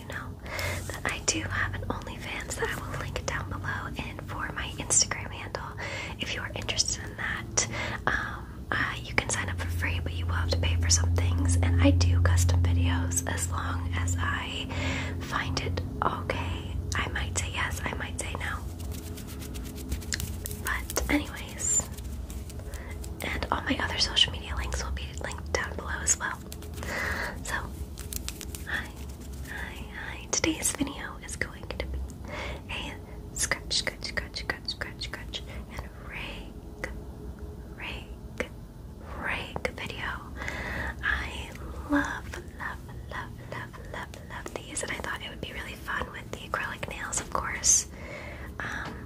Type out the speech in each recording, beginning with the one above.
you know that I do have an OnlyFans that I will link down below and for my Instagram handle. If you are interested in that, um, uh, you can sign up for free, but you will have to pay for some things. And I do custom videos as long as I find it okay. I might say yes, I might say no. But, anyways, and all my other social media links will be linked down below as well. So, hi, hi, hi. Today's video is going to be a scratch, scratch, scratch, scratch, scratch, scratch, and rake, rake, rake video. I love, love, love, love, love, love these, and I thought it would be really fun with the acrylic nails, of course. Um,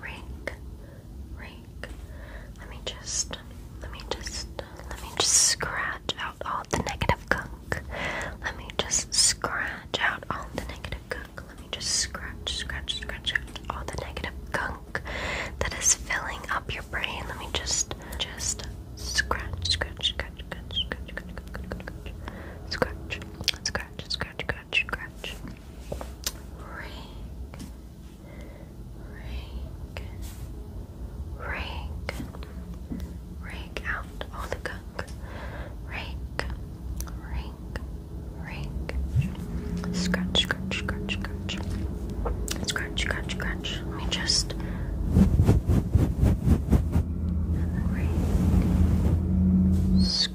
ring, ring. Let me just, let me just, let me just scratch out all the negative gunk. Let me just scratch out all the negative gunk. Let me just scratch, scratch, scratch out all the negative gunk that is filling up your brain. Let me just, just scratch, scratch, scratch, scratch, scratch, scratch, scratch, scratch, scratch, scratch, scratch, scratch, scratch, scratch. Rake, rake, rake, rake out all the gunk. Rake, rake, rake. Scratch, scratch, scratch, scratch. Scratch, scratch, scratch. Let me just. And then rake. Scratch.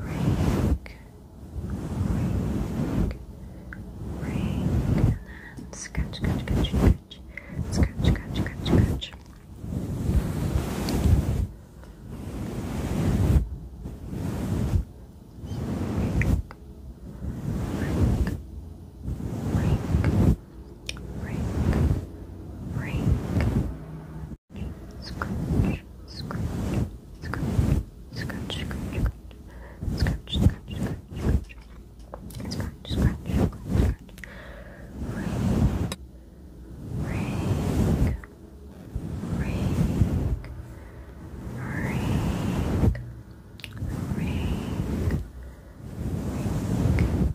rake, rake, rake, and then scratch, scratch, scratch, scratch, scratch, scratch, scratch, scratch. Rake, rake, rake, rake, rake, scratch, scratch, scratch, scratch, scratch, scratch, scratch, scratch, scratch, scratch, scratch, scratch, Ring, ring, ring, ring, ring, ring,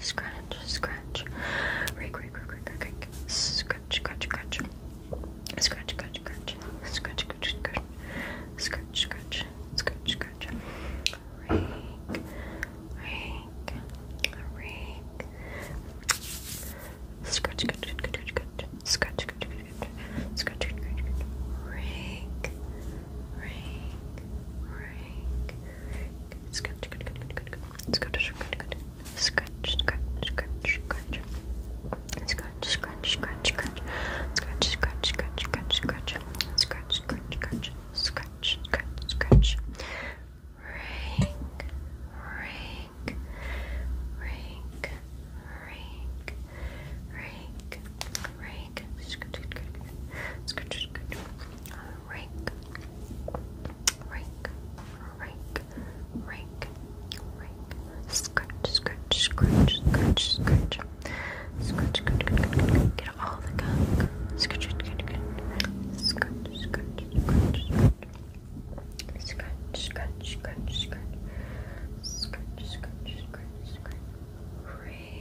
scratch, scratch, rake, rake, rake, rake, rake, scratch, scratch, scratch, scratch, scratch, scratch, scratch, scratch, scratch, scratch, scratch, scratch, scratch, rake, rake, rake, scratch, scratch, scratch, scratch, scratch, scratch, scratch, scratch, rake. Ring, ring, ring. Scratch, good, good, good, good, good. Scratch, good, good. Scratch, scratch, scratch, scratch. Scratch, scratch, scratch, scratch. Scratch, scratch, scratch, scratch, scratch. Scratch, scratch, scratch, scratch, scratch, scratch. Ring, ring, ring, ring, ring, ring rake, rake, rake, rake, rake, rake, scratch, scratch, scratch, scratch, scratch, scratch, scratch, get all the gunk, scratch, scratch, scratch, scratch, scratch, scratch, scratch, scratch, scratch, scratch, scratch, scratch, rake.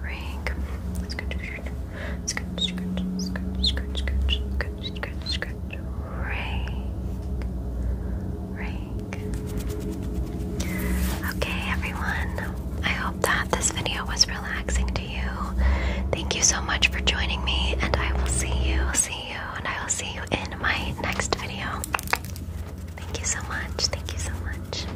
rake. Scratch, Okay, everyone. I hope that this video was relaxing to you. Thank you so much for joining me, and I will see you, see you, and I will see you in my next video. Thank you so much. Thank you so much.